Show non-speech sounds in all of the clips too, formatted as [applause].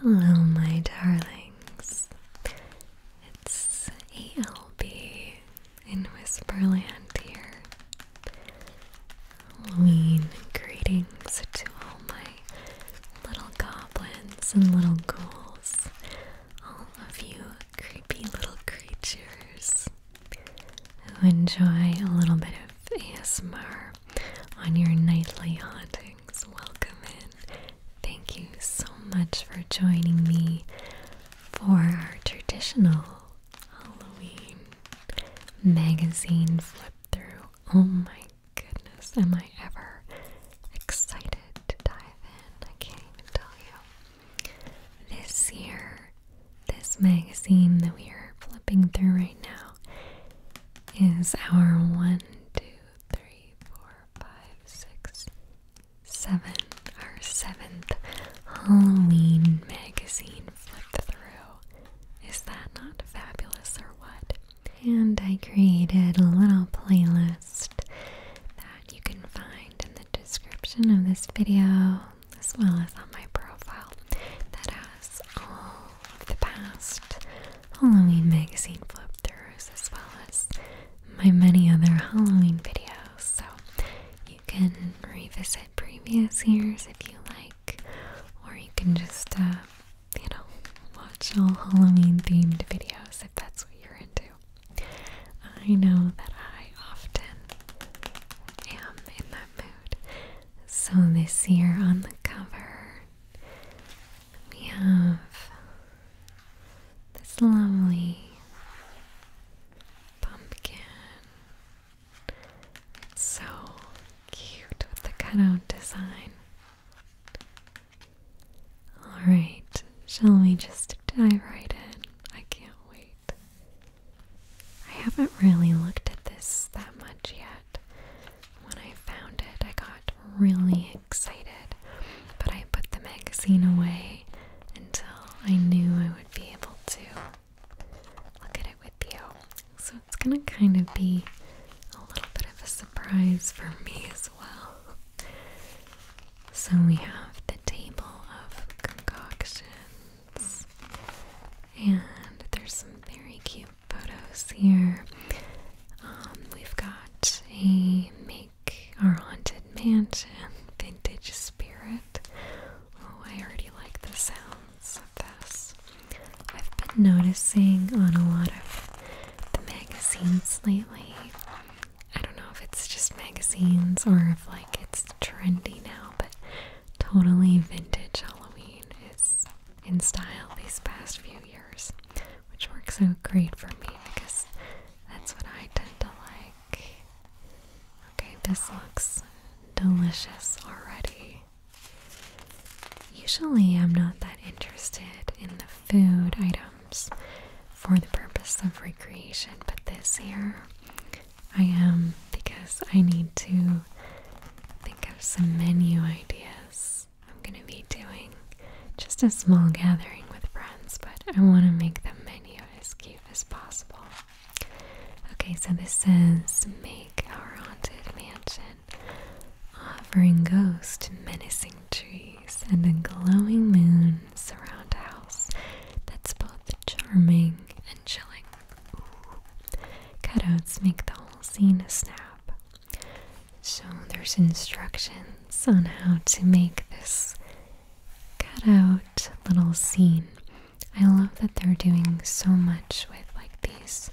Hello, my darlings. It's ALB in Whisperland here. Halloween greetings to all my little goblins and little ghouls, all of you creepy little creatures who enjoy a little bit of ASMR on your nightly haunting welcome in. Thank you so much for joining me for our traditional Halloween magazine flip through. Oh my goodness, am I ever excited to dive in? I can't even tell you. This year, this magazine that we are flipping through right now is our one, two, three, four, five, six, seven. Our seventh Halloween magazine flip through. Is that not fabulous or what? And I created a little playlist that you can find in the description of this video as well as on my profile that has all of the past Halloween magazine flip throughs, as well as my many other Halloween videos. So you can revisit previous years if you like, or you can just, uh, you know, watch all Halloween themed videos if that's what you're into. I know that I often am in that mood. So this year on the cover, we have this lovely pumpkin. so cute with the cutout design. Alright, shall we just dive right in? I can't wait. I haven't really looked at this that much yet when I found it, I got really excited. But I put the magazine away until I knew I would be able to look at it with you. So it's gonna kind of be a little bit of a surprise for me as well. So we have the table of concoctions, and there's some very cute photos here. Um, we've got a Make Our Haunted Mansion Vintage Spirit. Oh, I already like the sounds of this. I've been noticing on a lot of the magazines lately. I don't know if it's just magazines or if like it's trendy now, but totally vintage Halloween is in style these past few years, which works out great for me because that's what I tend to like. Okay, this looks delicious already. Usually, I'm not that interested in the food items for the purpose of recreation, but this year I am because I need to think of some menu ideas I'm going to be doing just a small gathering with friends, but I want to make the menu as cute as possible. Okay, so this says make our haunted mansion, offering ghosts, menacing trees, and a glowing moon surround a house that's both charming and chilling. Cutouts make the whole scene a snap. So there's instructions on how to make this cutout little scene. I love that they're doing so much with like these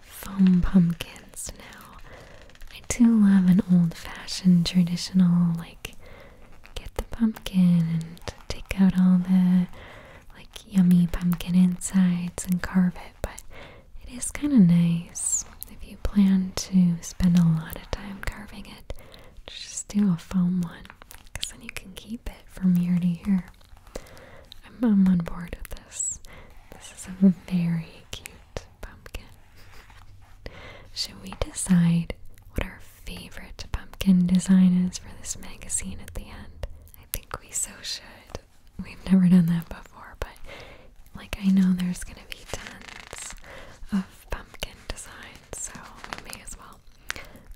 foam pumpkins now. I do love an old-fashioned traditional like get the pumpkin and take out all the like yummy pumpkin insides and carve it, but it is kind of nice if you plan to spend a lot of time carving it. Just do a foam one because then you can keep it from year to year. I'm, on board with this. This is a very cute pumpkin. Should we decide what our favorite pumpkin design is for this magazine at the end? I think we so should. We've never done that before, but like I know there's gonna be tons of pumpkin designs, so we may as well.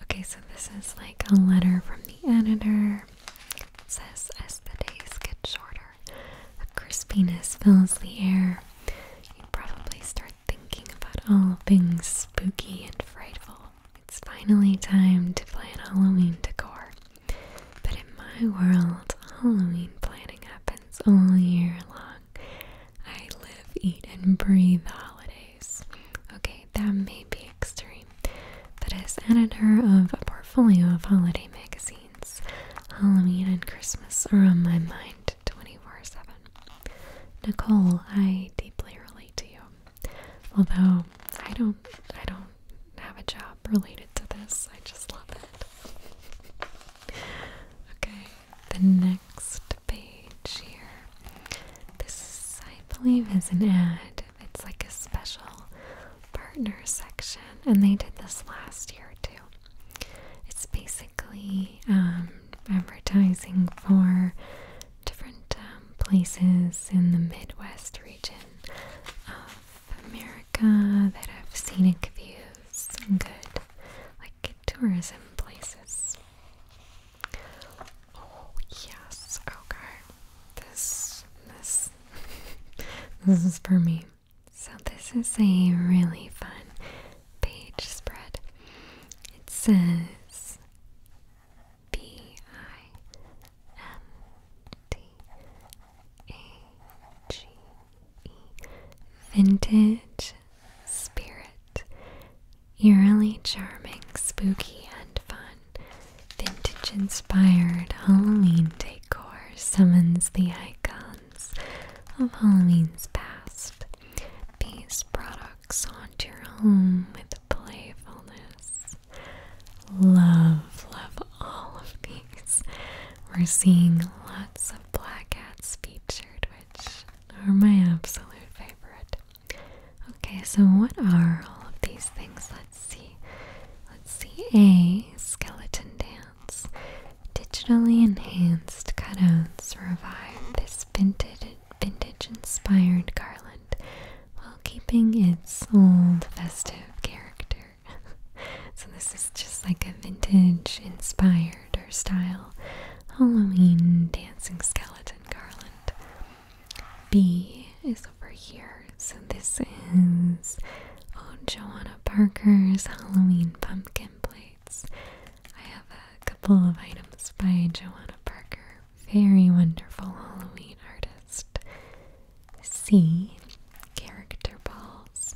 Okay, so this is like a letter from the editor. says, as the days get shorter, the crispiness fills the air. You probably start thinking about all things spooky and frightful. It's finally time to plan Halloween decor. But in my world, Halloween planning happens all year long. I live, eat, and breathe holidays. Okay, that may be extreme, but as editor of a portfolio of holiday magazines, Halloween and Christmas are on my mind 24 7. Nicole, I deeply relate to you. Although I don't I don't know, have a job related to this. I just love it. okay, the next page here. This, I believe, is an ad. It's like a special partner section, and they did this last year too. It's basically um, advertising for different um, places in the Midwest region um, America that have scenic views and good, like tourism places. Oh yes, okay. This, this, [laughs] this is for me. So this is a really fun page spread. It says B I M T a G E. Vintage Spirit. Eerily charming, spooky, and fun. Vintage inspired Halloween decor summons the icons of Halloween's past. These products haunt your home with playfulness. Love, love, all of these. We're seeing lots of black cats featured, which are my absolute favorite. Okay, so what are all of these things? Let's see. Let's see. A skeleton dance. Digitally enhanced cutouts revive this vintage vintage inspired garland while keeping its old festive character. [laughs] so this is just like a vintage inspired or style Halloween dancing skeleton garland. B is over here. So this is oh Joanna Parker's Halloween pumpkin plates. I have a couple of items by Joanna Parker. Very wonderful Halloween artist. C character balls.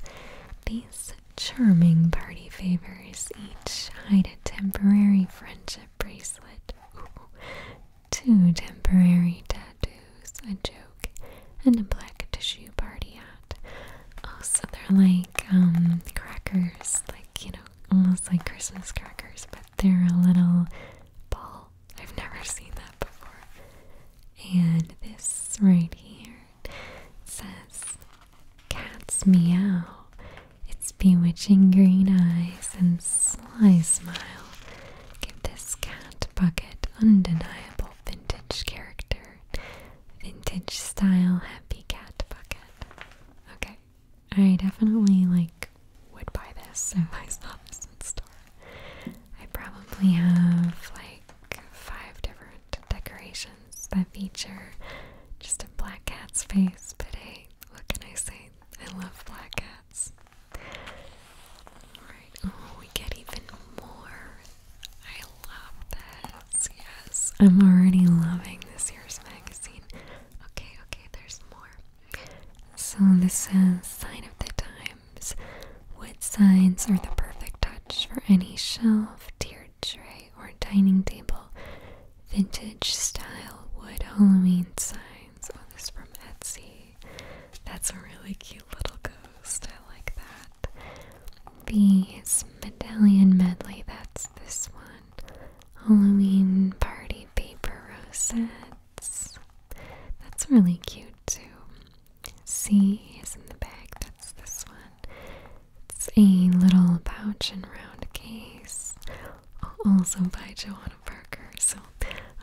These charming party favors each hide a temporary friendship bracelet, two temporary tattoos, a joke, and a black tissue party hat. so they're like um, crackers, like you know, almost like Christmas crackers, but they're a little ball. I've never seen that before. And this right here says, Cats meow, its bewitching green eyes and sly smile give this cat bucket undeniable vintage character. Vintage style happy cat bucket. Okay, I definitely like would buy this if I saw this in store. I probably have like five different decorations that feature just a black cat's face, but hey, what can I say? I love black cats. Alright, oh, we get even more. I love this. Yes, I'm already loving this year's magazine. Okay, okay, there's more. So this says Sign of the Times. Wood signs are the perfect touch for any shelf, tier tray, or dining table. Vintage style wood Halloween signs. Oh, this from Etsy. That's a really cute little ghost. I like that. These medallion medley. That's this one. Halloween party paper rosettes. That's really cute too. C is in the back. that's this one. It's a little pouch and round case, also by Joanna Parker, so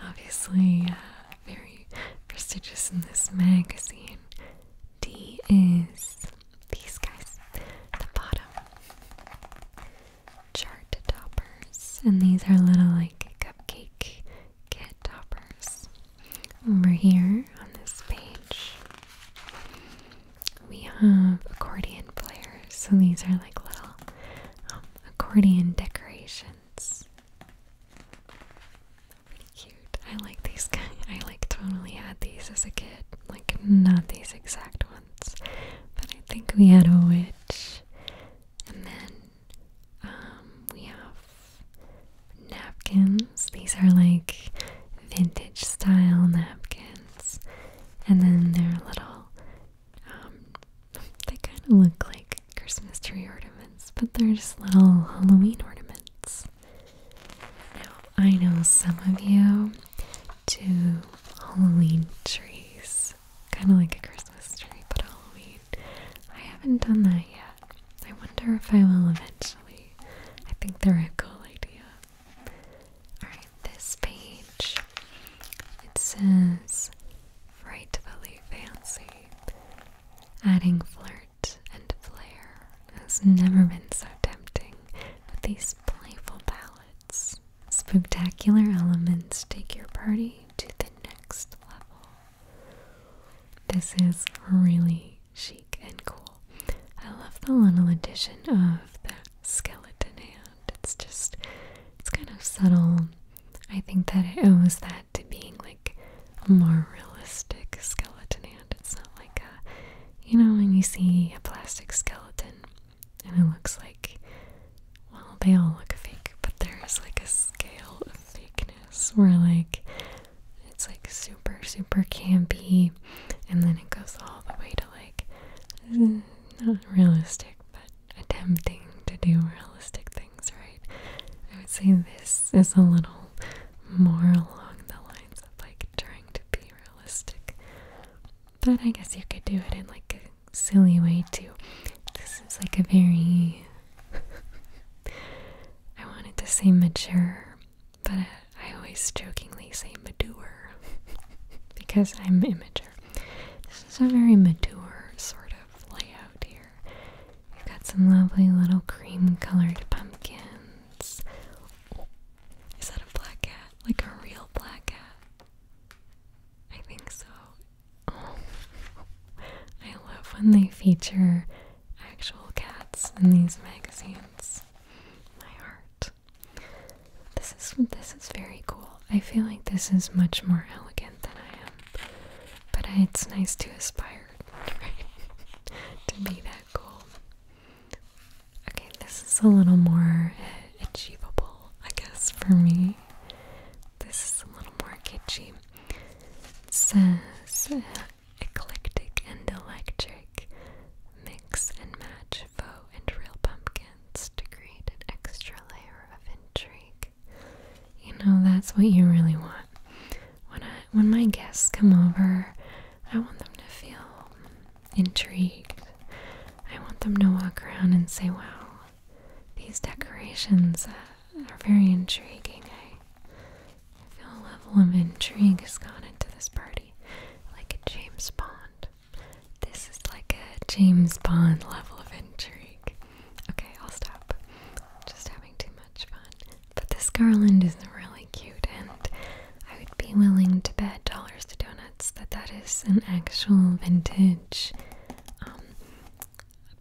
obviously uh, very prestigious in this magazine. D is these guys at the bottom. Chart toppers, and these are little like cupcake kit toppers over here on this page, we have accordion players. So these are like little um, accordion decorations. Pretty cute. I like these guys. [laughs] I like totally had these as a kid. Like not these exact ones, but I think we had a witch, and then um, we have napkins. These are like vintage style napkins. And then they're little, um, they kind of look like Christmas tree ornaments, but they're just little Halloween ornaments. Now, I know some of you do Halloween trees, kind of like a Christmas tree, but Halloween. I haven't done that yet. I wonder if I will eventually. I think they're a cool idea. Alright, this page. It says frightfully fancy. Adding flirt and flair has never been so tempting with these playful palettes. Spectacular elements take your party to the next level. This is really chic and cool. I love the little addition of the skeleton hand. It's just, it's kind of subtle. I think that it owes that to being like a more realistic skeleton hand. It's not like a, you know, when you see a plastic skeleton and it looks like, well, they all look fake, but there is like a scale of fakeness where like it's like super, super campy, and then it goes all the way to like not realistic, but attempting to do realistic things, right? I would say this is a little more along the lines of like trying to be realistic, but I guess you could do it in like a silly way too. This is like a very [laughs] I wanted to say mature, but I, always jokingly say mature [laughs] because I'm immature. This is a very mature sort of layout here. You've got some lovely little cream colored pumpkins. is that a black cat? Like a real black cat? I think so. [laughs] I love when they feature actual cats in these magazines. My heart. This is this is very cool. I feel like this is much more elegant than I am, but I, it's nice to aspire [laughs] to be that cool. Okay, this is a little more achievable, I guess, for me. This is a little more kitschy. says uh, eclectic and electric, mix and match faux and real pumpkins to create an extra layer of intrigue. You know, that's what you really want. When when my guests come over, I want them to feel intrigued. I want them to walk around and say, "Wow, these decorations uh, are very intriguing." Eh? I feel a level of intrigue has gone into this party, like a James Bond. This is like a James Bond level of intrigue. Okay, I'll stop. Just having too much fun. But this garland is really cute, and I would be willing to bet dollars to donuts that that is an actual vintage um,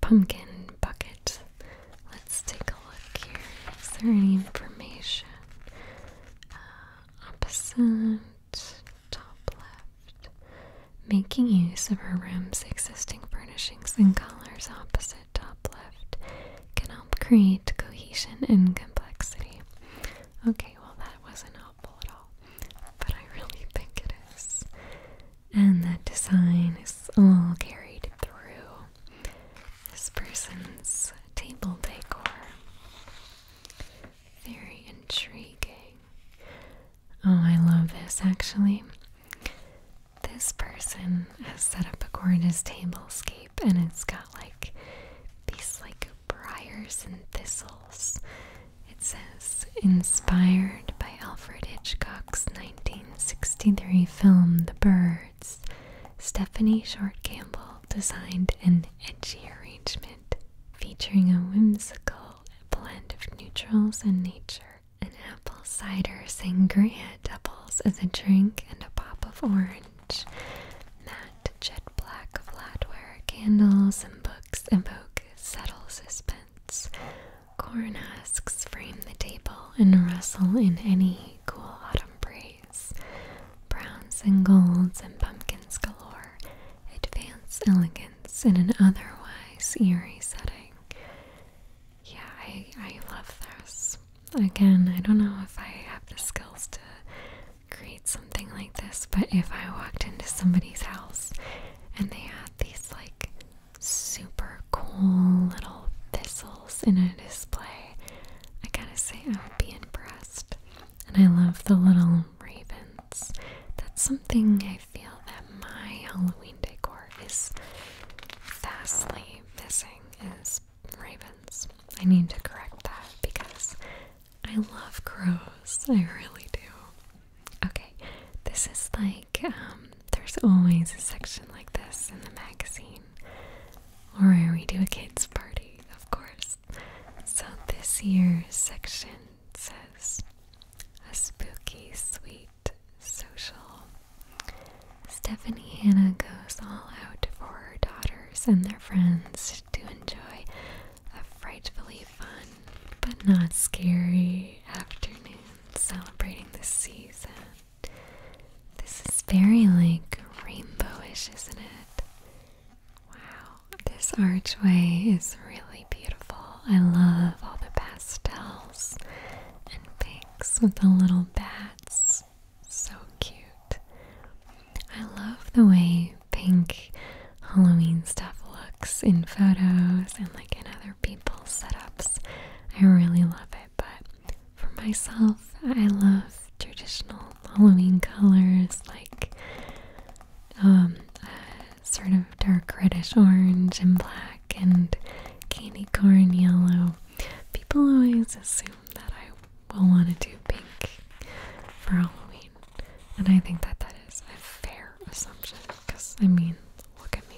pumpkin bucket Let's take a look here. Is there any information? Uh, opposite, top left. Making use of her room's existing furnishings and colors opposite top left can help create cohesion and complexity. Okay, well, that wasn't helpful at all, but I really think it is. And that design is all carried through this person's table decor. Very intriguing. Oh, I love this actually. This person has set up a gorgeous scape, and it's got like these like briars and thistles. It says inspired by Alfred Hitchcock's 1963 film The Bird. Stephanie Short Campbell designed an edgy arrangement featuring a whimsical blend of neutrals and nature. An apple cider sangria doubles as a drink and a pop of orange. Matte jet black flatware candles and books evoke subtle suspense. Corn husks frame the table and rustle in any cool autumn breeze browns and golds, and pumpkins galore advance elegance in an otherwise eerie setting. Yeah, I, I love this. Again, I don't know if I have the skills to create something like this, but if I walked into somebody's house and they had these like super cool little thistle in a display, I gotta say I would be impressed. And I love the little ravens. That's something I feel that my Halloween decor is vastly missing is ravens. I need to correct that because I love crows. I really do. Okay, this is like um, there's always a section like this in the magazine or we do a kids' party, of course. So this year's section says a spooky, sweet social. Stephanie Hannah goes all out for her daughters and their friends to enjoy a frightfully fun but not scary afternoon celebrating the season. This is very like rainbowish, isn't it? Wow, this archway is really beautiful. I love all the pastels and pinks with the little bats. So cute. I love the way pink Halloween stuff looks in photos and like in other people's setups. I really love it but for myself, I love traditional Halloween colors like um, sort of dark reddish orange and black and candy corn yellow. People always assume that I will want to do pink for Halloween, and I think that that is a fair assumption because I mean, look at me.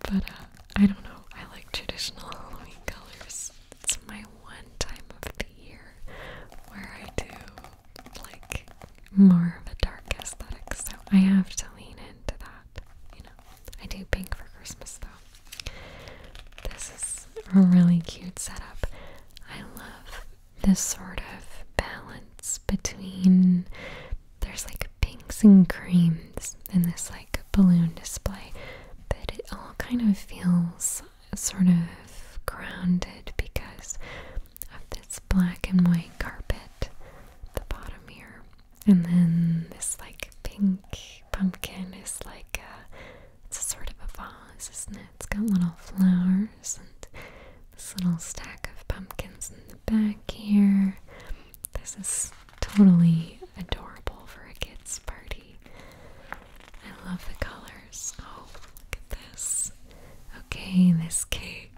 But uh, I don't know, I like traditional Halloween colors. It's my one time of the year where I do like more of a dark aesthetic, so I have to lean into that. You know, I do pink for Christmas though. This is a really cute setup. I love this sort of balance between there's like pinks and creams in this like like balloon display, but it all kind of feels sort of grounded because of this black and white carpet at the bottom here. And then this like pink pumpkin is like it's a sort of a vase, isn't it? It's got little flowers and this little stack of pumpkins in the back here. This is totally adorable for a kid's party. I love the colors. Oh, look at this. Okay, this cake.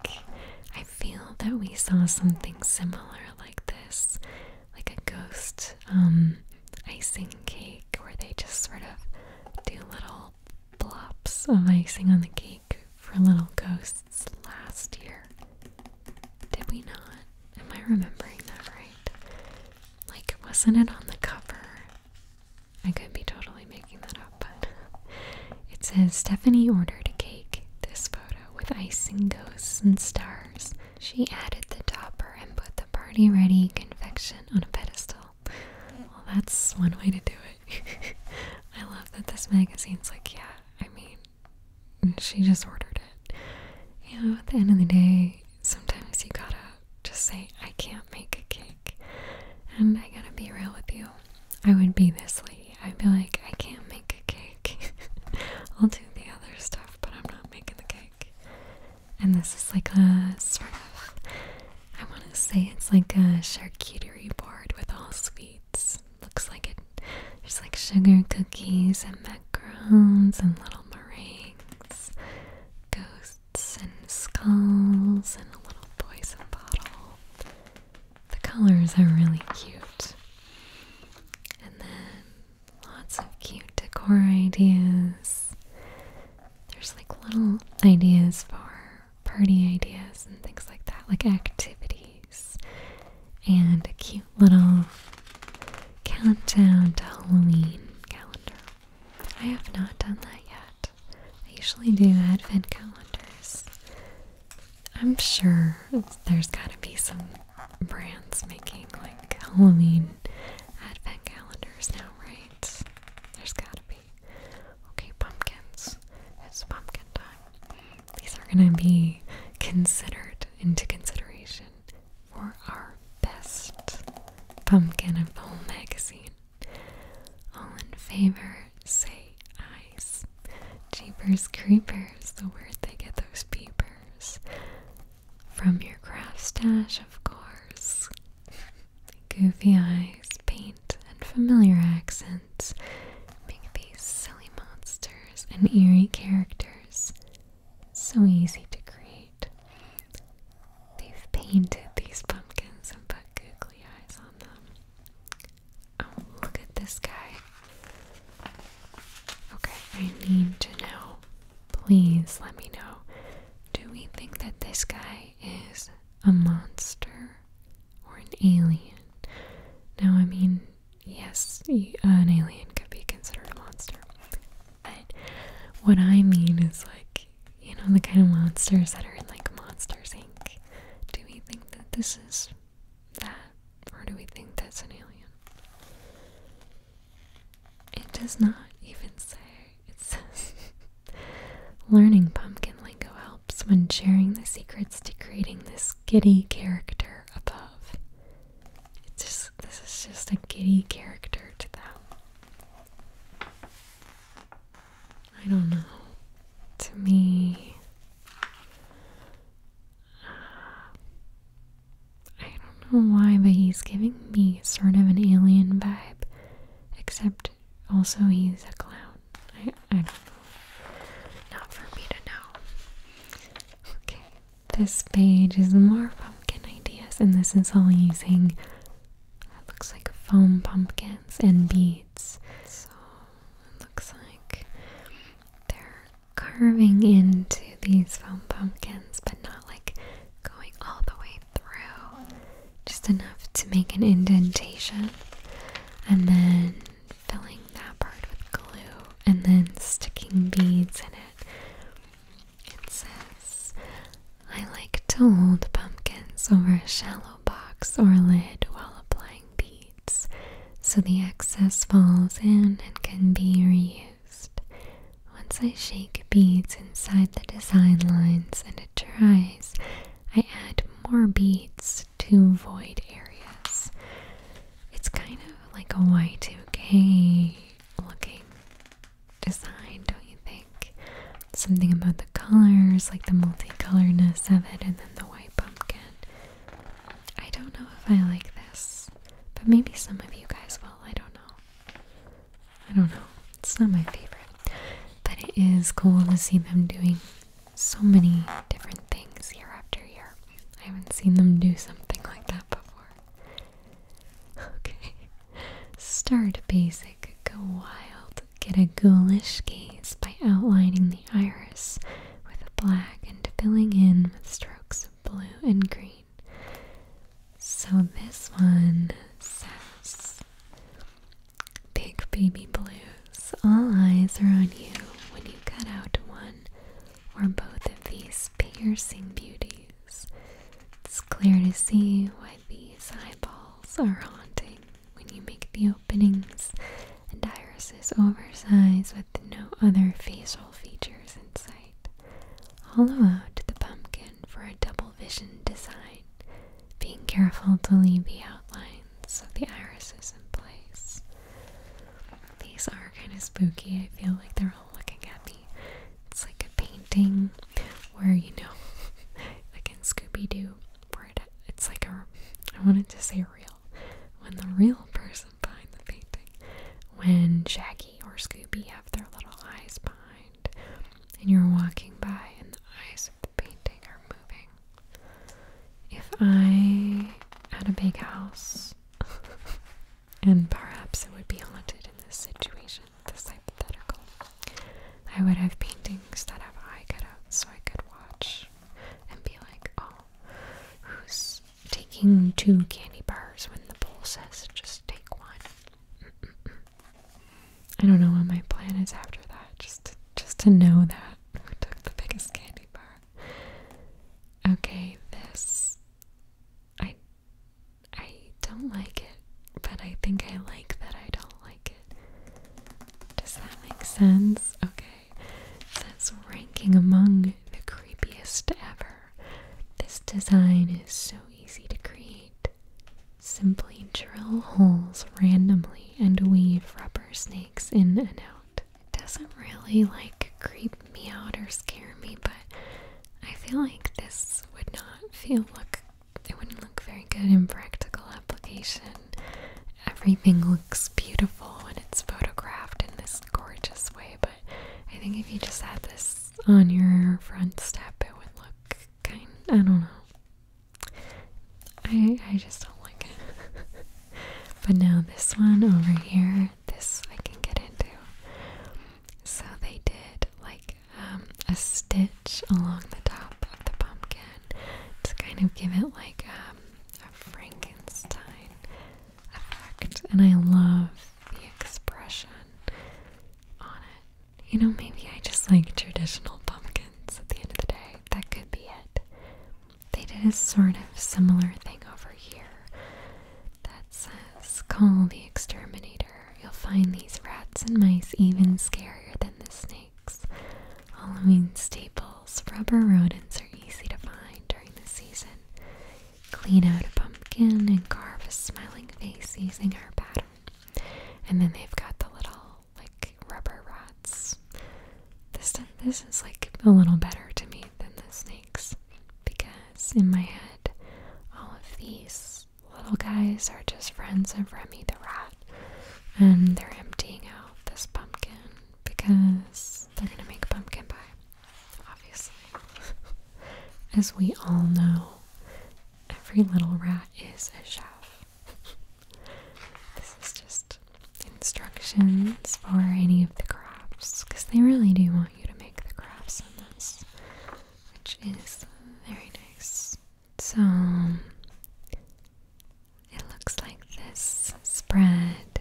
I feel that we saw something similar like this, like a ghost um, icing cake, where they just sort of do little blobs of icing on the cake for little ghosts last year. Did we not? Am I remembering that right? Like, wasn't it on the cover? I could be totally making that up, but it says Stephanie ordered a cake. This photo with icing, ghosts, and stars. She added the topper and put the party ready confection on a pedestal. Well, that's one way to do it. [laughs] I love that this magazine's like, yeah, I mean, she just ordered it. You know, at the end of the day, sometimes you gotta just say, I can't make a cake. And I gotta be real with you. I would be this lady. I'd be like, I can't make a cake. [laughs] I'll do the other stuff, but I'm not making the cake. And this is like a sort of, I want to say it's like a charcuterie board with all sweets. Looks like it. There's like sugar cookies and macarons and little meringues ghosts and skulls, and a little poison bottle. The colors are really cute. And then lots of cute decor ideas. There's like little ideas for party ideas and things like that, like activities. And a cute little countdown to Halloween calendar. I have not done that yet. I usually do advent calendars. I'm sure there's gotta be some brands making like Halloween advent calendars now, right? There's gotta be. Okay, pumpkins. It's pumpkin time. These are gonna be considered into consideration for our best pumpkin of all magazine. All in favor, say eyes. Jeepers creepers, the word they get those peepers. From your craft stash, of course. Goofy eyes, paint, and familiar accents make these silly monsters and eerie characters so easy to create. They've painted these pumpkins and put googly eyes on them. Oh, look at this guy. Okay, I need to know. Please let me know. Do we think that this guy is a monster or an alien? Now, I mean, yes, an alien could be considered a monster. But what I mean is like, you know, the kind of monsters that are in like Monsters Inc. Do we think that this is that, or do we think that's an alien? It does not even say. It says, [laughs] learning pumpkin lingo helps when sharing the secrets to creating this giddy character above. It just this is just a giddy character to them. I don't know. To me, I don't know why, but he's giving me sort of an alien vibe, except also he's a clown. I, I don't know. Not for me to know. Okay, this page is more pumpkin ideas, and this is all using it looks like foam pumpkins and beads. So it looks like they're carving into these foam pumpkins, but not like going all the way through. Just enough to make an indentation and then filling that part with glue and then sticking beads in it. It says, I like to hold pumpkins over a shallow box or lid while applying beads so the excess falls in and can be reused. Once I shake beads inside the design lines and it dries, I add more beads to void areas. It's kind of like a Y2K looking design, don't you think? Something about the colors, like the multicoloredness of it, and then the white pumpkin. I don't know if I like this, but maybe some of you guys will. I don't know. I don't know. It's not my favorite. But it is cool to see them doing so many different things year after year. I haven't seen them do something like that before. [laughs] Okay. Start basic, go wild. Get a ghoulish gaze by outlining the iris with black and filling in with strokes of blue and green. So this one says Big Baby Blues. All eyes are on you when you cut out one or both of these piercing beauties. It's clear to see why these eyeballs are haunting when you make the openings and irises oversized with no other facial features in sight. Hollow out the pumpkin for a double vision design, being careful to leave the outlines of the irises in place. These are kind of spooky. I feel like they're all looking at me. It's like a painting where you know, [laughs] like in Scooby Doo, where it's like a I wanted to say real when the real person behind the painting, when Shaggy or Scooby have their little eyes behind, and you're walking by and the eyes of the painting are moving. If I had a big house, [laughs] and perhaps it would be haunted in this situation imagine hypothetical. I would have paintings that have eye cutouts so I could watch and be like, oh, who's taking two candy bars when the bowl says just take one? I don't know what my plan is after that. Just just to know that who took the biggest candy bar. Okay, this I I don't like it, but I think I like that I don't like it. Does that make sense? Okay. That's ranking among the creepiest ever. This design is so easy to create. Simply drill holes randomly and weave rubber snakes in and out. It doesn't really like creep me out or scare me, but I feel like this would not feel look it wouldn't look very good in practical application. Everything looks beautiful when it's photographed in this gorgeous way, but I think if you just had this on your front step, it would look kind I don't know. I I just don't like it. [laughs] but now this one over here, this I can get into. So they did like um, a stitch along the top of the pumpkin to kind of give it like um, a Frankenstein effect. And I love the expression on it. You know, maybe I just like traditional pumpkins at the end of the day. That could be it. They did a sort of similar thing over here that says, Call the Exterminator you'll find these rats and mice even scarier than the snakes. Halloween staples, rubber rodents are easy to find during the season. Clean out a pumpkin and carve a smiling face using our pattern. And then they've got the little like rubber rats. This this is like a little better to me than the snakes because in my head all of these little guys are just friends of Remy the rat, and they're emptying out this pumpkin because they're gonna make pumpkin pie, obviously. [laughs] As we all know, every little rat is a chef. [laughs] this is just instructions for any of the crafts because they really do want you to make the crafts in this, which is very nice. So it looks like this spread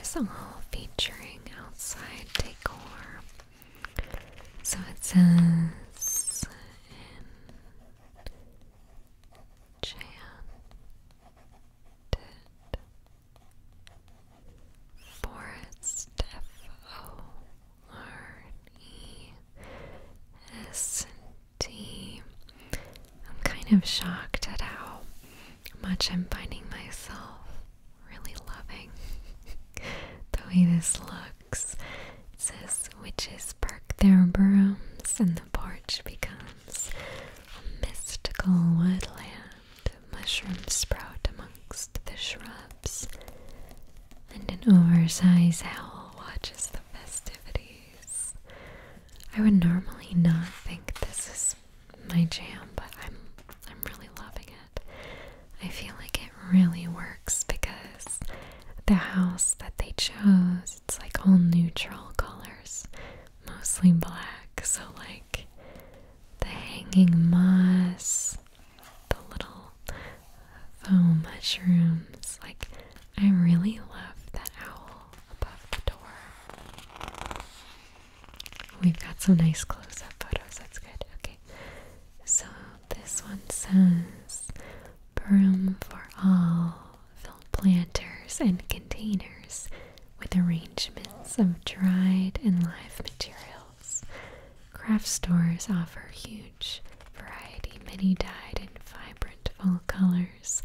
is all featuring outside decor. So it says enchanted forest F O learn T. I'm kind of shocked at how much I'm finding myself really loving [laughs] the way this looks. It says witches perk their brooms and the porch becomes a mystical woodland. Mushrooms sprout amongst the shrubs and an oversized owl watches the festivities. I would normally not think this is my jam, but I'm I'm really loving it. I feel like it really works because the house that they chose, it's like all neutral colors, mostly black. So like the hanging moss, the little foam mushrooms. Like, I really love that owl above the door. We've got some nice close up photos, that's good. Okay, so this one says Broom for all, fill planters and containers with arrangements of dried and live materials. Craft stores offer huge variety, many dyed in vibrant fall colors,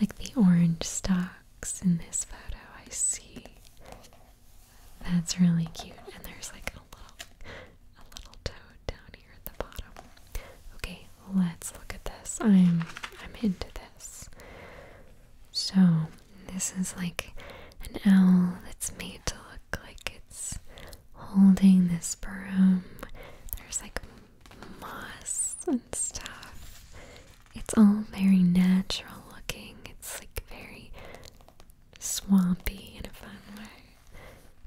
like the orange stalks in this photo. I see. That's really cute. And there's like a little, a little toad down here at the bottom. Okay, let's look at this. I'm, I'm into this. So this is like an owl that's made to look like it's holding this broom. There's like moss and stuff. It's all very natural looking. It's like very swampy in a fun way.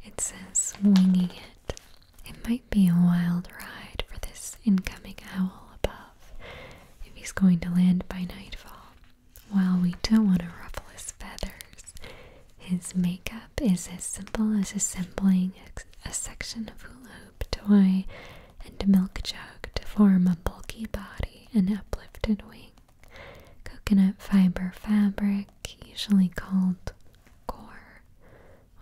It says winging it. It might be a wild ride for this incoming owl above if he's going to land by nightfall. While we don't want to ruffle his feathers, his makeup is as simple as assembling a section of hula hoop toy and a milk jug to form a bulky body and uplifted wing. Coconut fiber fabric, usually called core.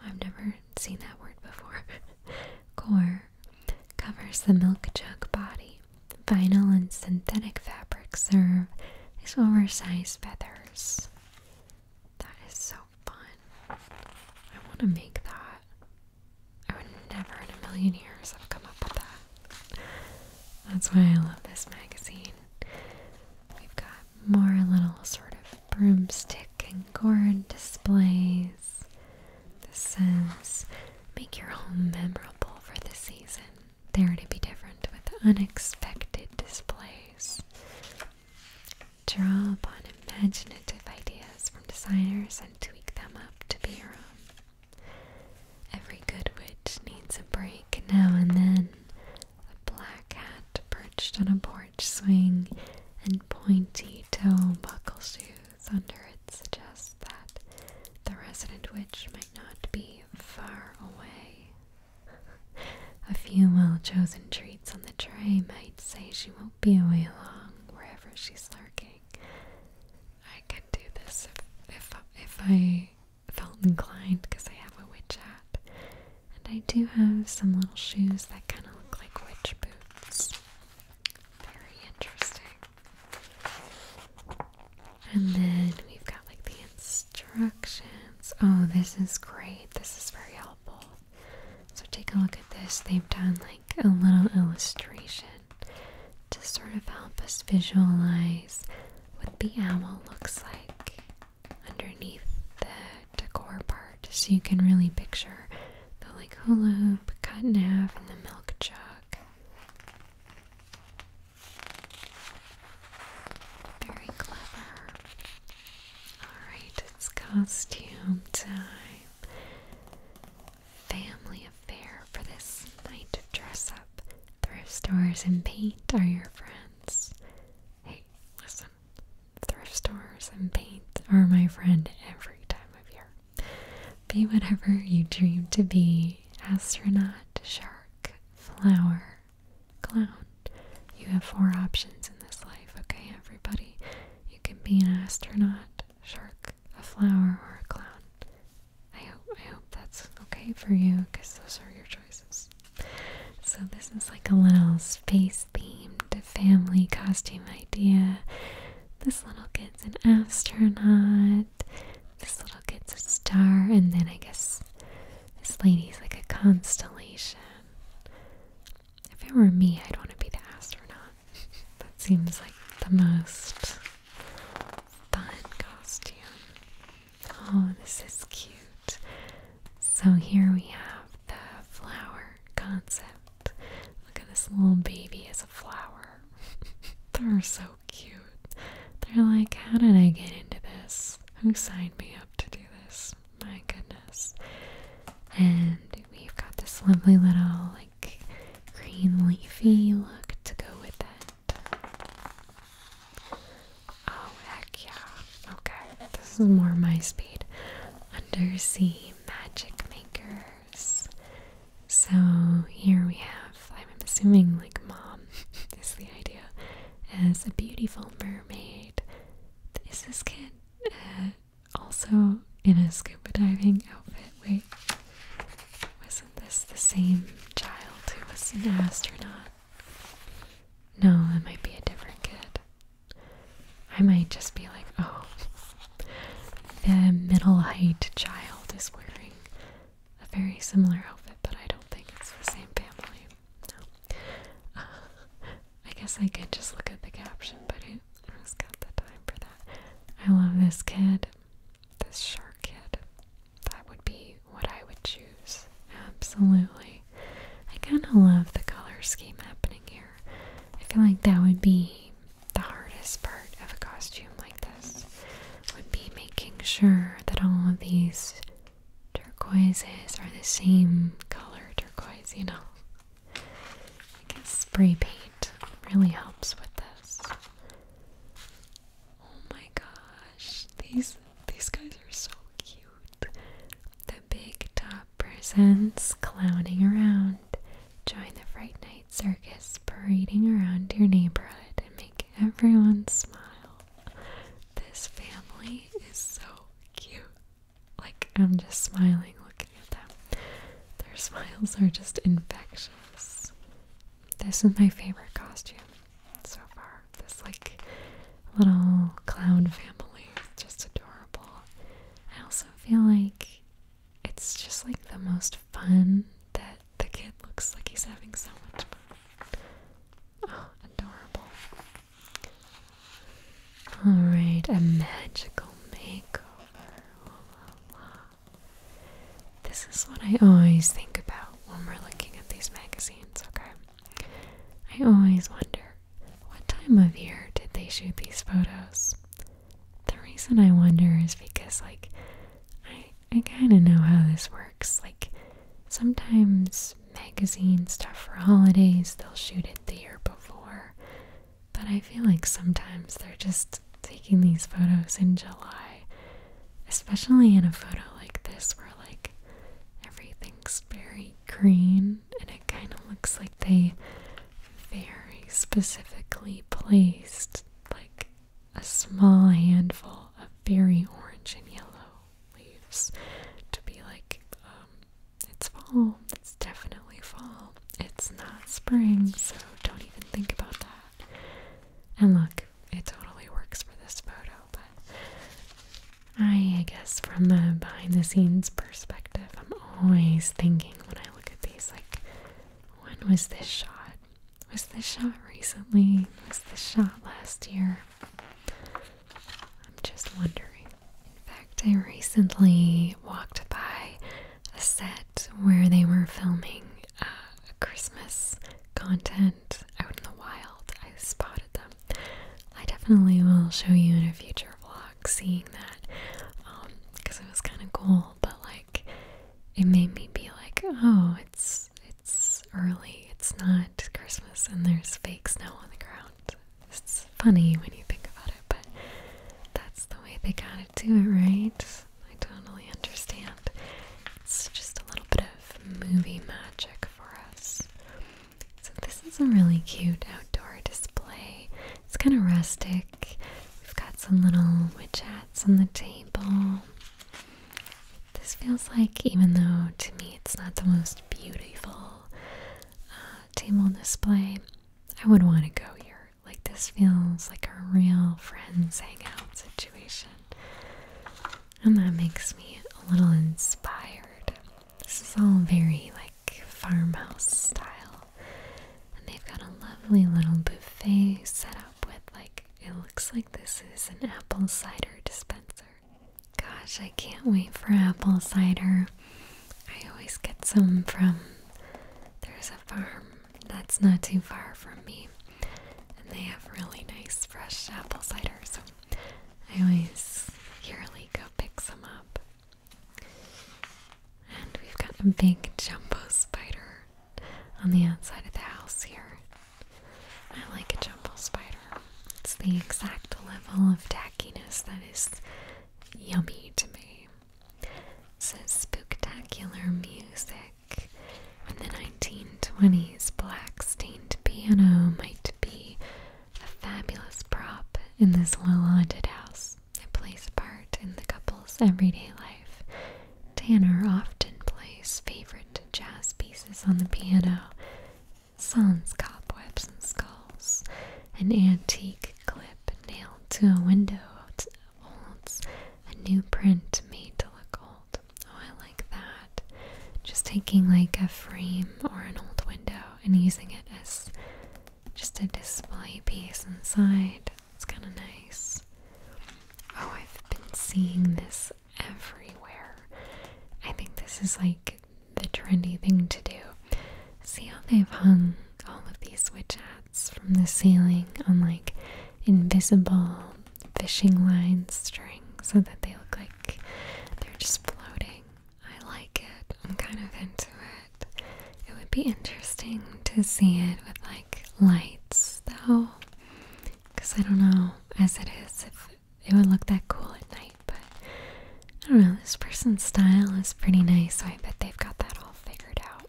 I've never seen that word before. [laughs] core covers the milk jug body. Vinyl and synthetic fabrics serve as oversized feathers. That is so fun. I want to make that. I would never in a million years have come up with that. That's why I love this magazine. We've got more little sort of broomstick and gourd displays. This says, make your home memorable for the season. They're going to be different with unexpected displays. Draw upon imaginative ideas from designers and tweak them up to be your own. Every good witch needs a break now and then. A black hat perched on a porch swing and pointy toe buckle shoes under it suggests that the resident witch might not be far away a few well chosen treats on the tray might say she won't be away long wherever she's lurking. I could do this if, if, if I felt inclined because I have a witch hat. And I do have some little shoes that kind of look like witch boots. Very interesting. And then we've got like the instructions. Oh, this is great. This is very helpful. So take a look at this. They've done like a little illustration to sort of help us visualize what the owl looks like underneath the decor part so you can really picture the like hula hoop, in half, and the milk jug. Very clever. Alright, it's costume time. Family affair for this night of dress up. Thrift stores and paint are your friends. Hey, listen. Thrift stores and paint are my friend every time of year. Be whatever you dream to be astronaut, shark, flower, clown. You have four options in this life, okay, everybody? You can be an astronaut, shark, a flower, or a clown. I hope I hope that's okay for you because those are your choices. So this is like a little space themed family costume idea. This little kid's an astronaut. This little kid's a star, and then I guess this lady's like a constellation. If it were me, I'd want to be the astronaut. [laughs] that seems like the most fun costume. Oh, this is cute. So here we have the flower concept. Look at this little baby as a flower. [laughs] They're so cute. They're like, how did I get into this? Who signed me up to do this? My goodness. And we've got this lovely little like green leafy look to go with it. Oh heck yeah. Okay. This is more my speed. Undersea magic makers. So here we have I'm assuming like mom [laughs] is the idea as a beautiful mermaid is this kid uh, also in a scuba diving outfit? Wait, wasn't this the same child who was an astronaut? No, it might be a different kid. I might just be like, oh, the middle height child is wearing a very similar outfit, but I don't think it's the same family. No. I guess I could just look at the caption, but it, who's got the time for that? I love this kid. This shark kid. That would be what I would choose. Absolutely. I kind of love the color scheme happening here. I feel like that would be the hardest part of a costume like this. Would be making sure that all of these turquoises are the same color turquoise, you know. spray paint really helps with this. Oh my gosh, these these guys are so cute. The big top presents clowning around. Join the Fright Night Circus parading around your neighborhood and make everyone smile. This family is so cute. Like, I'm just smiling looking at them. Their smiles are just infectious. This is my favorite costume so far. This, like, little clown family is just adorable. I also feel like it's just like the most fun that the kid looks like he's having so much fun. Oh, adorable. Alright, a magical makeover. This is what I always think about when we're looking at these magazines, okay? I always wonder what time of year did they shoot these photos? The reason I wonder is because, like, I, I kind of know how this works. Like, sometimes magazine stuff for holidays. They'll shoot it the year before. But I feel like sometimes they're just taking these photos in July, especially in a photo like this where like everything's very green and it kind of looks like they very specifically placed like a small handful of very orange and yellow leaves to be like um, it's fall. It's definitely fall. It's not spring, so don't even think about that. And look, it totally works for this photo, but I guess from the behind the scenes perspective, I'm always thinking when I look at these like, when was this shot? Was this shot recently? Was this shot last year? I'm just wondering. In fact, I recently walked by a set where they were filming uh, Christmas content out in the wild. I spotted them. I definitely will show you in a future vlog seeing that because um, it was kind of cool, but like it made me be like, oh, it's it's early, it's not Christmas, and there's fake snow on the ground. It's funny when you think about it, but that's the way they gotta do it, right? I totally understand. It's just a little bit of movie magic for us. So, this is a really cute outdoor display. It's kind of rustic. We've got some little witch hats on the table. This feels like, even though to me it's not the most beautiful uh, table display. I would want to go here. Like, this feels like a real friends hangout situation. And that makes me a little inspired. This is all very, like, farmhouse style. And they've got a lovely little buffet set up with, like, it looks like this is an apple cider dispenser. Gosh, I can't wait for apple cider. I always get some from there's a farm that's not too far from me, and they have really nice fresh apple cider. So I always yearly go pick some up. And we've got a big jumbo spider on the outside of the house here. I like a jumbo spider. It's the exact level of tackiness that is yummy to me. It spectacular music. In the 1920s, black stained piano might be a fabulous prop in this well-haunted house. It plays a part in the couple's everyday life. Tanner often plays favorite jazz pieces on the piano sans cobwebs and skulls, an antique clip nailed to a window holds a new print made to look old. Oh, I like that. Just taking like a frame or an old window and using it as just a display piece inside. It's kind of nice. Oh, I've been seeing this everywhere. I think this is like the trendy thing to do. See how they've hung all of these witch hats from the ceiling on like invisible fishing line string so that they look like they're just floating. I like it. I'm kind of into it. It would be interesting to see it with like lights though. Because I don't know, as it is, if it would look that cool at night but I don't know, this person's style is pretty nice, so I bet they've got that all figured out.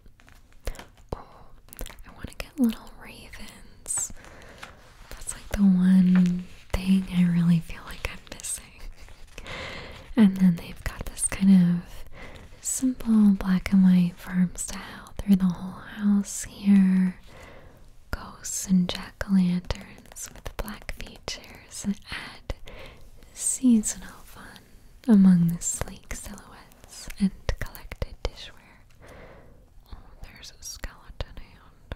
Oh, I want to get little ravens. That's like the one thing I really feel like I'm missing. and then they've got this kind of simple black and white farm style through the whole house here. Ghosts and jack o' lanterns with black features colors add seasonal fun among the sleek silhouettes and collected dishware. Oh, there's a skeleton hand.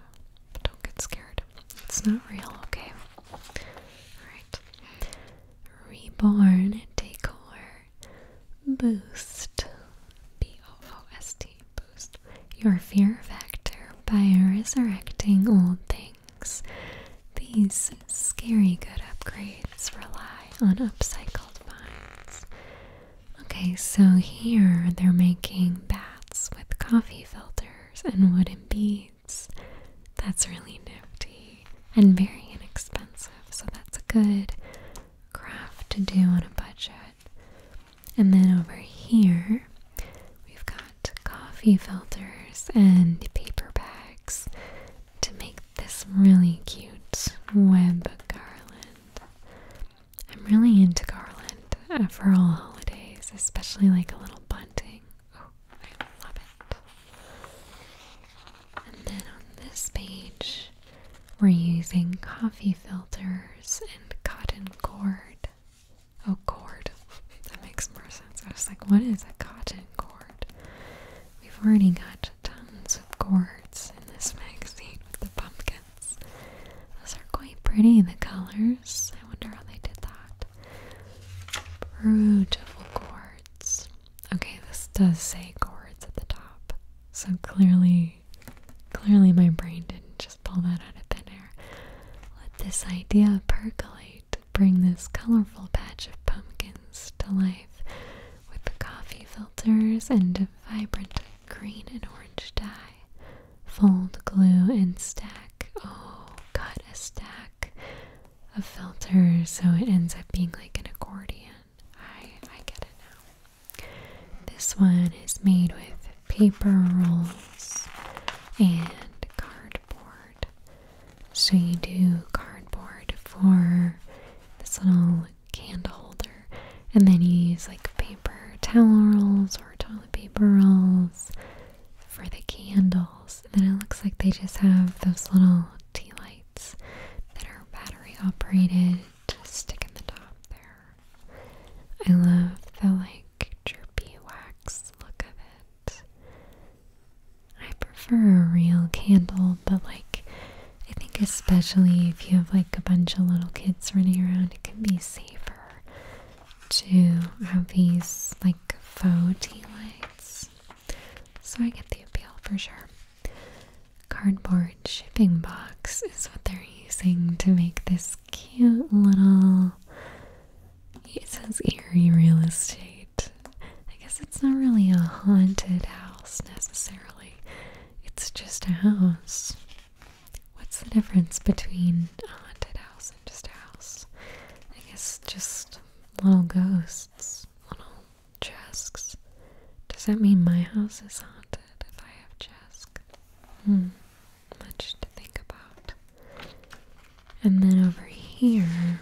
don't get scared. It's not real, okay? Alright. Reborn Decor Boost. B O O S T. Boost. Your fear factor by resurrecting old things these scary good upgrades rely on upcycled vines. Okay, so here they're making bats with coffee filters and wooden beads. That's really nifty and very inexpensive, so that's a good craft to do on a budget. And then over here, We've got coffee filters and paper bags to make this really cute web garland. I'm really into garland uh, for all holidays, especially like a little bunting. Oh, I love it. And then on this page, we're using coffee filters and cotton cord a oh, cord. that makes more sense. I was like, what is a cotton cord? We've already got tons of cords in this magazine with the pumpkins. Those are quite pretty, in the colors. I wonder how they did that. Beautiful cords. Okay, this does say cords at the top. So clearly, clearly my brain didn't just pull that out of thin air. Let this idea percolate bring this colorful patch of pumpkins to life with the coffee filters and a vibrant green and orange dye. Fold, glue, and stack. Oh, cut a stack of filters so it ends up being like an accordion. I, I get it now. This one is made with paper rolls and cardboard. So you do cardboard for this little candle holder, and then you use like paper towel rolls or toilet paper rolls for the candles. And then it looks like they just have those little tea lights that are battery operated. Just stick in the top there. I love the like drippy wax look of I prefer a real candle, but like I think especially if you have like a bunch of little kids running around, it can be safer to have these like faux tea lights. So I get the appeal for sure. Cardboard shipping box is what they're using to make this cute little it says eerie real estate. I guess it's not really a haunted house necessarily. It's just a house. What's the difference between a haunted house and just a house? I guess just little ghosts, little jesks. Does that mean my house is haunted if I have jesk? Hmm, much to think about. And then over here,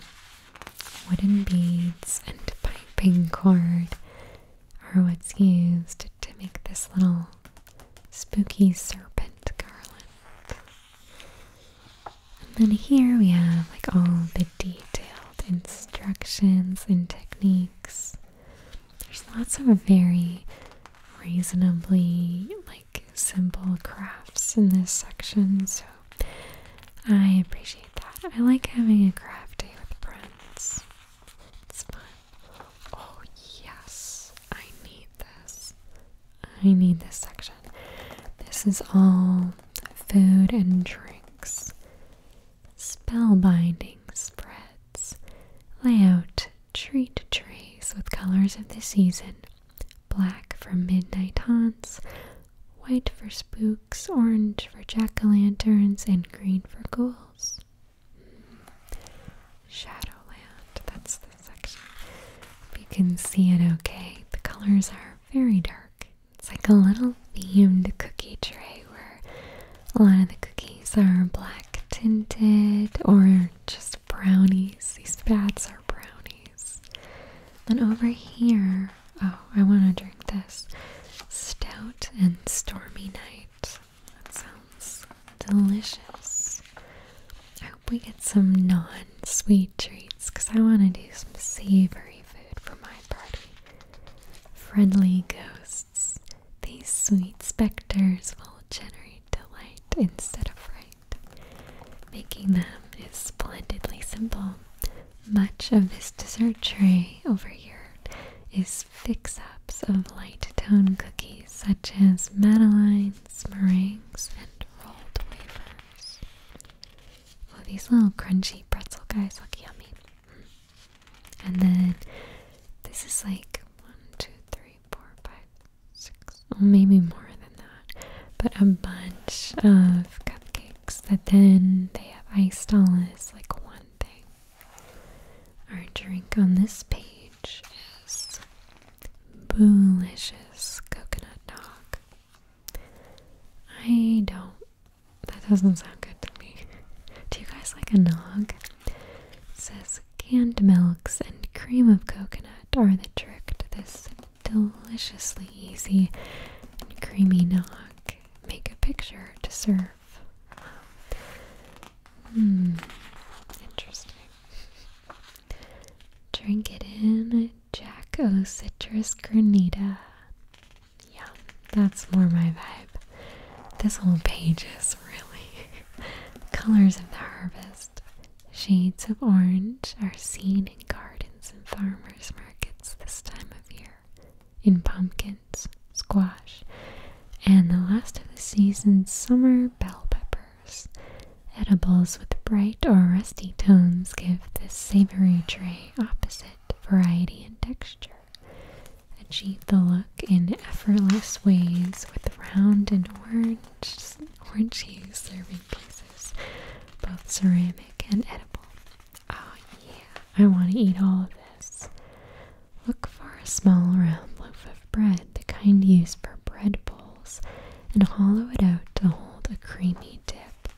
wooden beads and piping cord are what's used to make this little spooky serpent garland. And then here we have like all the detailed instructions and techniques. There's lots of very reasonably like simple crafts in this section, so I appreciate that. I like having a craft day with friends. It's fun. Oh, yes, I need this. I need this section. This is all food and drinks, spellbinding spreads, layout treat trays with colors of the season, black for midnight haunts, white for spooks, orange for jack o' lanterns, and green for ghouls. Shadowland, that's the section. If you can see it okay, the colors are very dark. It's like a little themed cookie tray where a lot of the cookies are black tinted or just brownies. These bats are brownies. And over here, oh, I want to drink this stout and stormy night. That sounds delicious. I hope we get some non sweet treats because I want to do some savory food for my party. Friendly ghosts. These sweet specters will generate delight instead of fright. Making them is splendidly simple. Much of this dessert tray over here is fix-ups of light tone cookies such as madeleines, meringues, and rolled wafers. Oh, these little crunchy pretzel guys look yummy. And then this is like one, two, three, four, five, six, maybe more than that, but a bunch of cupcakes that then they have iced all is like one thing. Our drink on this page is Boolicious Coconut nog. I don't. That doesn't sound good to me. Do you guys like a nog? says canned milks and cream of coconut are the trick to this deliciously easy and creamy knock. Make a picture to serve. Hmm, interesting. Drink it in Jack O Citrus Granita. Yeah, that's more my vibe. This whole page is really [laughs] colors of the harvest. Shades of orange are seen in gardens and farmers' markets this time of year, in pumpkins, squash, and the last of the season, summer bell peppers. Edibles with bright or rusty tones give this savory tray opposite variety and texture. Achieve the look in effortless ways with round and orange, orange serving pieces both ceramic and edible. Oh, yeah, I want to eat all of this. Look for a small round loaf of bread, the kind used for bread bowls, and hollow it out to hold a creamy dip.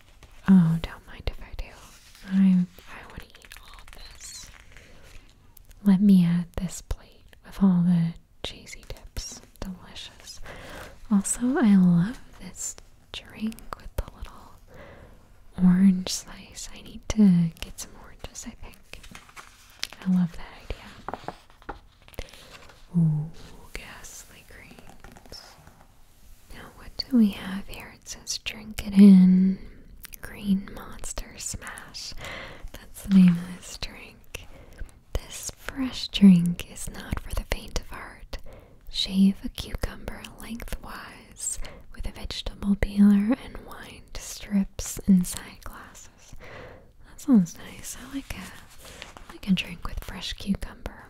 Oh, don't mind if I do. I, I want to eat all of this. Let me add this plate with all the cheesy dips. Delicious. Also, I love this drink with the little orange slice. I need to get some oranges, I think. I love that idea. Ooh, ghastly greens. Now, what do we have here? It says drink it in. Green Monster Smash. That's the name of this drink. This fresh drink is not for the faint of heart. Shave a cucumber lengthwise with a vegetable peeler and wind strips inside glasses. That sounds nice. I like a I like a drink with fresh cucumber.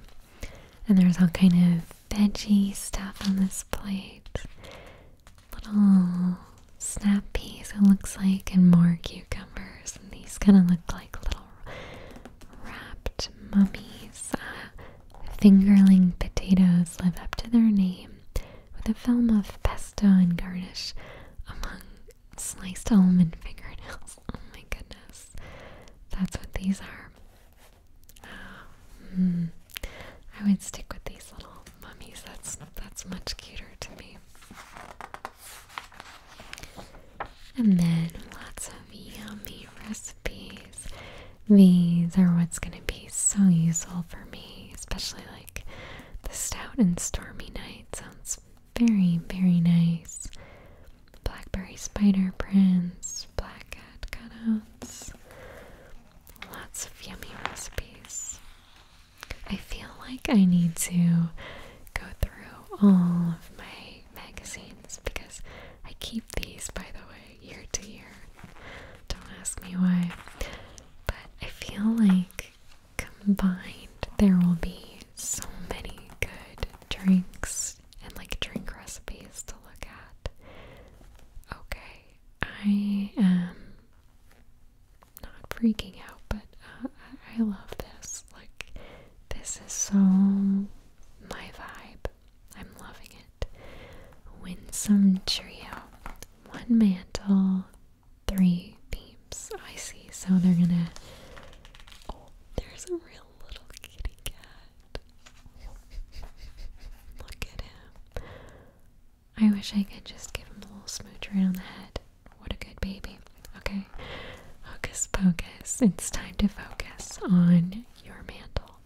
And there's all kind of veggie stuff on this plate. Little snap peas it looks like and more cucumbers and these kind of look like little wrapped mummies. Uh, fingerling potatoes live up to their name with a film of pesto and garnish among sliced almond fingerlings. [laughs] Oh my goodness. That's what these are. Hmm. I would stick with these little mummies. That's that's much cuter to me. And then lots of yummy recipes. These are what's going to be so useful for me, especially like the stout and stormy night. Sounds very, very nice. Blackberry spider prints, black cat cutouts, lots of yummy recipes. I feel like I need to go through all of my magazines because I keep these, by the way, year to year. Don't ask me why. But I feel like combined there will be so many good drinks and like drink recipes to look at. Okay, I am not freaking out, but uh, I love this. Like, this is so my vibe. I'm loving it. Winsome trio. One mantle, three beams. I see. So they're gonna. Oh, there's a real little kitty cat. [laughs] Look at him. I wish I could just give him a little smooch right on the head. What a good baby. Okay. Focus. Focus. It's time to focus on your mantle.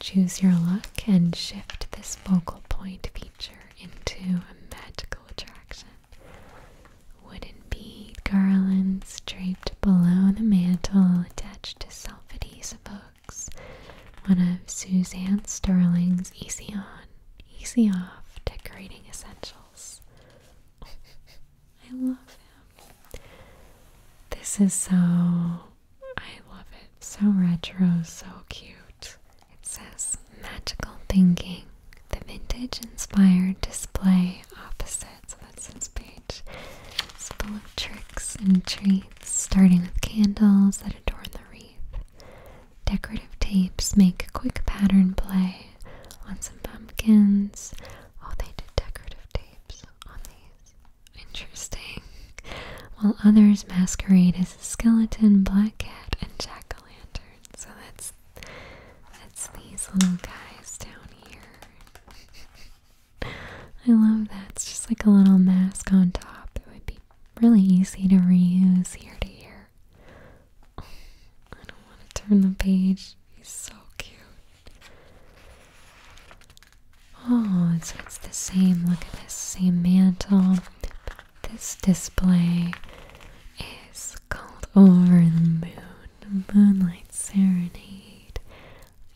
Choose your look and shift this focal point feature into a magical attraction. Wooden bead garlands draped below the mantle attached to self-adhesive hooks. One of Suzanne Sterling's easy on, easy off decorating essentials. [laughs] I love him. This is so, I love it. So retro, so cute. It says magical thinking, the vintage inspired display opposite. that's this page. It's of tricks and treats, starting with candles that adorn the wreath. Decorative tapes make quick pattern play on some pumpkins. Oh, they did decorative tapes on Interesting. While others masquerade as a skeleton, black cat, and jack o' lantern. So that's that's these little guys down here. I love that. It's just like a little mask on top that would be really easy to reuse year to year. I don't want to turn the page. He's so cute. Oh, it's the same. Look at this same mantle. this display is called Over the Moon Moonlight Serenade.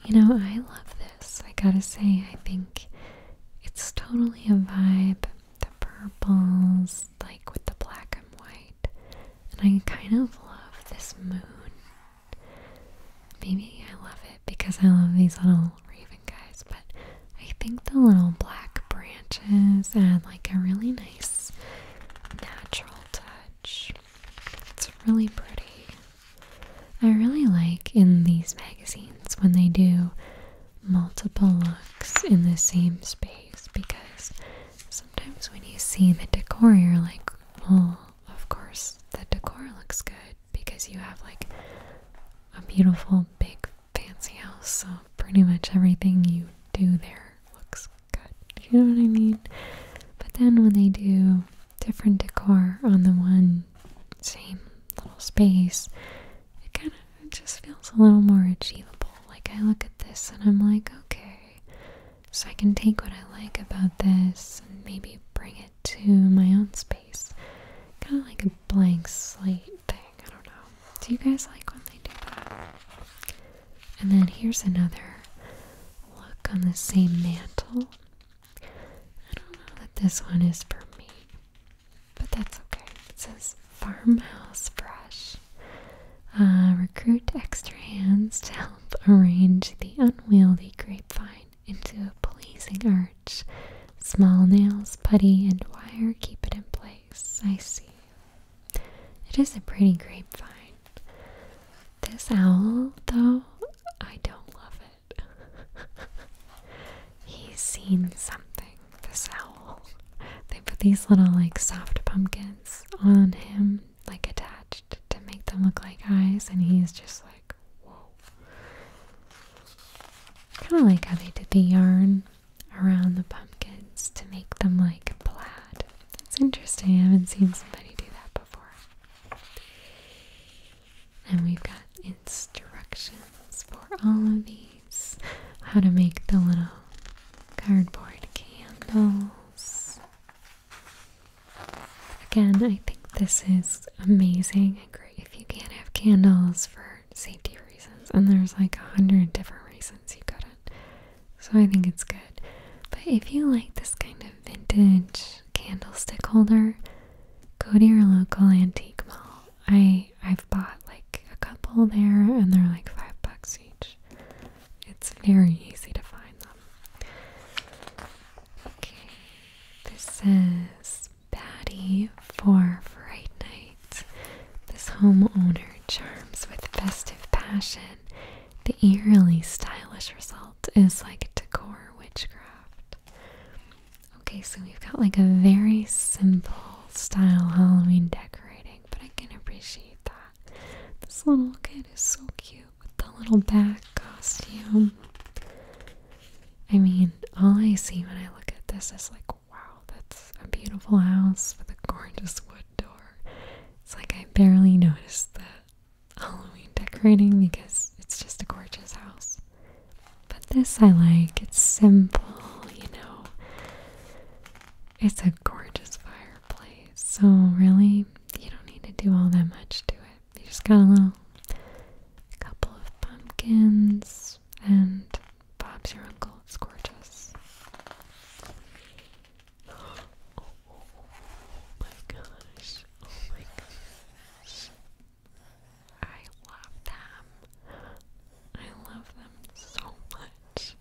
You know, I love this. I gotta say, I think it's totally a vibe. The purples, like with the black and white. And I kind of love this moon Maybe I love it because I love these little raven guys, but I think the little black branches add like a really nice natural touch. It's really pretty. I really like in these magazines when they do multiple looks in the same space because sometimes when you see the decor, you're like, oh, of course, the decor looks good because you have like a beautiful, big, fancy house. So, pretty much everything you do there looks good. You know what I mean? But then when they do different decor on the one same little space, it kind of just feels a little more achievable. Like, I look at this and I'm like, okay, so I can take what I like about this and maybe bring it to my own space. Kind of like a blank slate thing. I don't know. Do you guys like when they do that? And then here's another look on the same mantle. I don't know that this one is for me, but that's okay. It says farmhouse brush. Uh, recruit extra hands to [laughs] help arrange the unwieldy grapevine into a pleasing arch. Small nails, putty, and wire keep it in place. I see. It is a pretty grapevine. This owl, though, I don't love it. [laughs] He's seen something, this owl. They put these little, like, soft pumpkins on him like attached to make them look like eyes, and he's just like, whoa. Kind of like how they did the yarn around the pumpkins to make them like plaid. That's interesting, I haven't seen somebody do that before. And we've got instructions for all of these how to make the little cardboard candles. Again, I think this is amazing if you can't have candles for safety reasons. And there's like a hundred different reasons you couldn't. So I think it's good. But if you like this kind of vintage candlestick holder, go to your local antique mall. I I've bought like a couple there and they're like five bucks each. It's very easy to find them. Okay, this is Patty for Fright Night. This homeowner charms with festive passion. The eerily stylish result is like decor witchcraft. Okay, so we've got like a very simple style Halloween decorating, but I can appreciate that. This little kid is so cute with the little bat costume. I mean, all I see when I look at this is like, wow, that's a beautiful house with a gorgeous wood door. It's like I barely notice the Halloween decorating because it's just a gorgeous house. But this I like. It's simple, you know. It's a gorgeous fireplace. So, really, you don't need to do all that much to it. You just got a little couple of pumpkins and Bob's your uncle. It's gorgeous. [gasps] Oh, my gosh. Oh my gosh. I love them. I love them so much.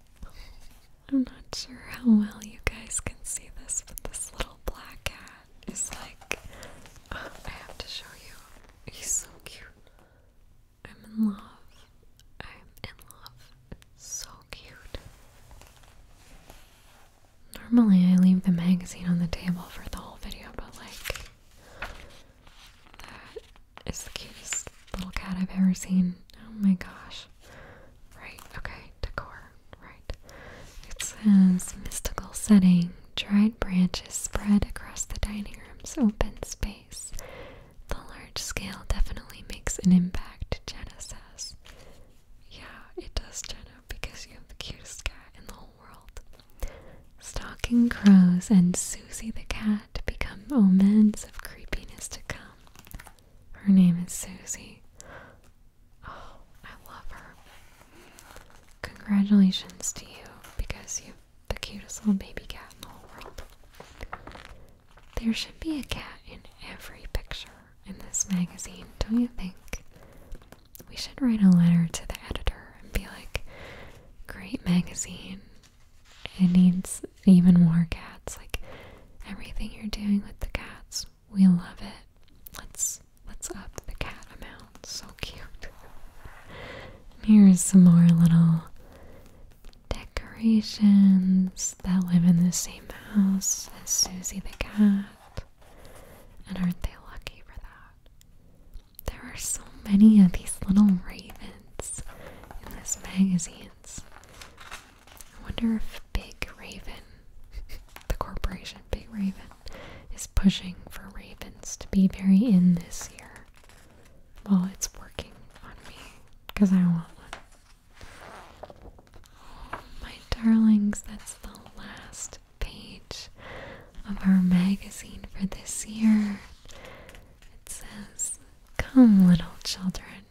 I'm not sure how well you guys can see this, with this little black cat cat like, [sighs] I have to show you. He's so cute. I'm in love. I'm in love. It's so cute. Normally, I leave the magazine on the table for the whole video, but like, that is the cutest little cat I've ever seen. Oh my gosh. Right, okay, decor right? It says mystical setting, dried branches spread across the dining room's open space. The large scale definitely makes an impact, Jenna says. Yeah, it does, Jenna, because you have the cutest cat in the whole world. Stalking crows and Susie the cat become omens of creepiness to come. Her name is Susie. Oh, [gasps] I love her. Congratulations to you because you've the cutest little baby cat in the whole world. There should be a cat in every picture in this magazine, don't you think? We should write a letter to the editor and be like, great magazine. It needs even more cats. Like, everything you're doing with the cats we love it. Let's let's up the cat amount. So cute. Here's some more little decorations that live in the same house as Susie the cat. And aren't they lucky for that? There are so many of these little ravens in this magazines. I wonder if Big Raven, [laughs] the corporation Big Raven, is pushing for Ravens to be very in this year. Well, it's working on me because I want one. Oh, my darlings, that's the last page of our magazine for this year. It says, Come, little children,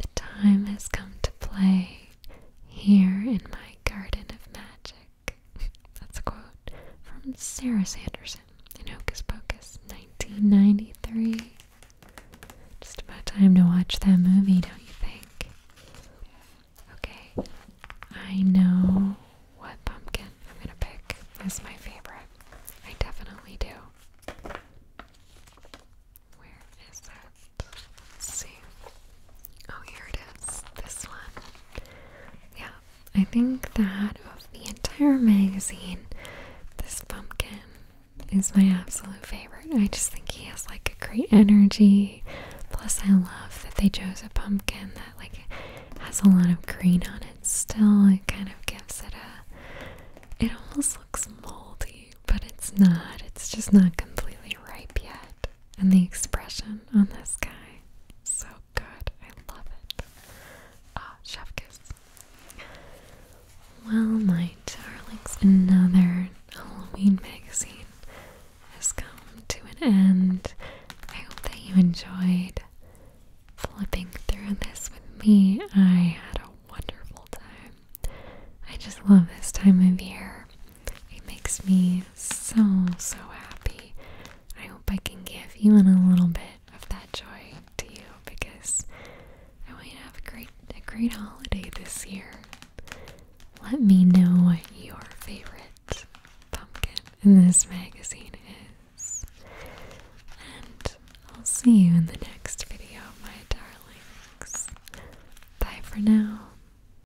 the time has come to play. Here in my garden of magic. [laughs] That's a quote from Sarah Sanderson in Hocus Pocus 1993. Just about time to watch that movie, don't you think? Okay, I know what pumpkin I'm gonna pick is my favorite. I definitely do. Where is that? see. Oh, here it is. This one. Yeah, I think that of the entire magazine, this pumpkin is my absolute favorite. I just think he has like a great energy. Plus, I love that they chose a pumpkin that like has a lot of green on it. Still, it kind of gives it a. It almost looks moldy, but it's not. It's just not completely ripe yet and the expression on this guy. So good. I love it. Ah, oh, chef kiss. Well, my darlings, another Halloween magazine has come to an end. I hope that you enjoyed flipping through this with me. I had a wonderful time. I just love this time of year. It makes me so, so happy. I hope I can give even a little bit of that joy to you because I want you to have a great, a great holiday this year. Let me know what your favorite pumpkin in this magazine is. And I'll see you in the next video, my darlings. Bye for now.